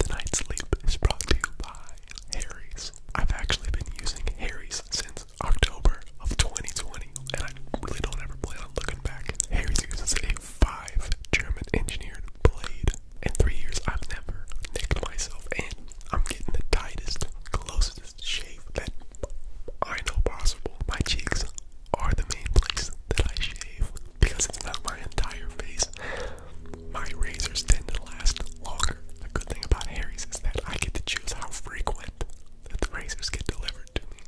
Tonight's sleep is brought to you by Harry's. I've actually been using Harry's since October of 2020, and I really don't ever plan on looking back. Harry's uses a five German engineered blade. In three years, I've never nicked myself, and I'm getting the tightest, closest shave that I know possible. My cheeks are the main place that I shave because it's not my entire face. My razors tend to last longer. The good thing about Harry's is that I get to choose how frequent that the razors get delivered to me.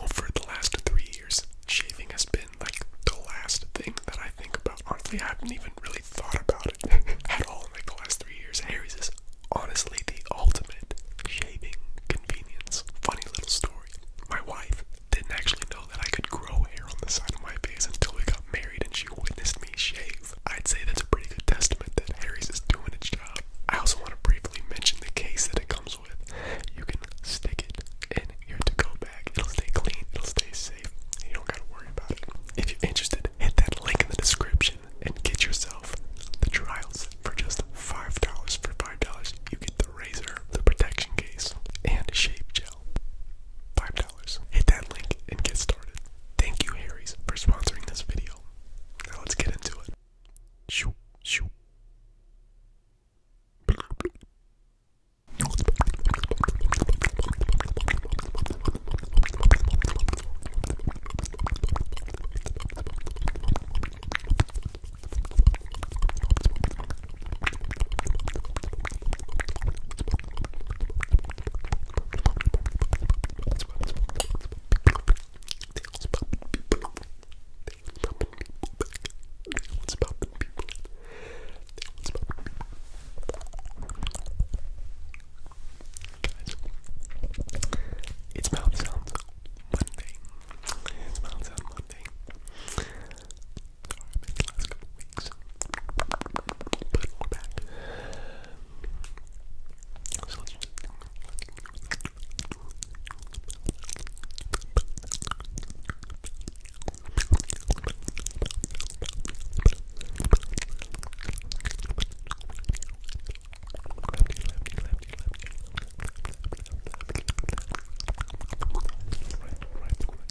Oh, the last three years, shaving has been like the last thing that I think about. Honestly, I haven't even really thought about it at all like the last three years. Harry's is honestly the ultimate shaving convenience. Funny little story. My wife didn't actually know that I could grow hair on the side of my face until we got married and she witnessed me shave. I'd say that's a pretty good testament that Harry's is doing its job. I also want to briefly mention the case that it comes with. You can stick it in your to-go bag. It'll stay clean. It'll stay safe. You don't gotta worry about it. If you're interested, hit that link in the description and get yourself the trials for just $5. For $5, you get the razor, the protection case, and a shape gel. $5. Hit that link and get started. Thank you, Harry's, for sponsoring this video. Now let's get into it. Shoo, shoo. It's mouth sounds Monday. It's mouth sounds Monday. Sorry, I missed the last couple weeks. But we're back. So let's just Lefty, lefty, lefty, lefty. Right, right, right.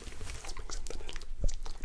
Let's bring something in. Let's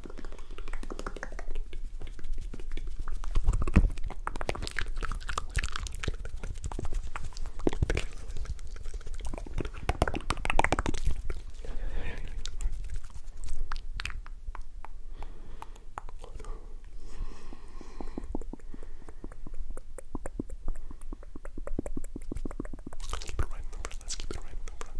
Let's keep it right in the front. Let's keep it right in the front.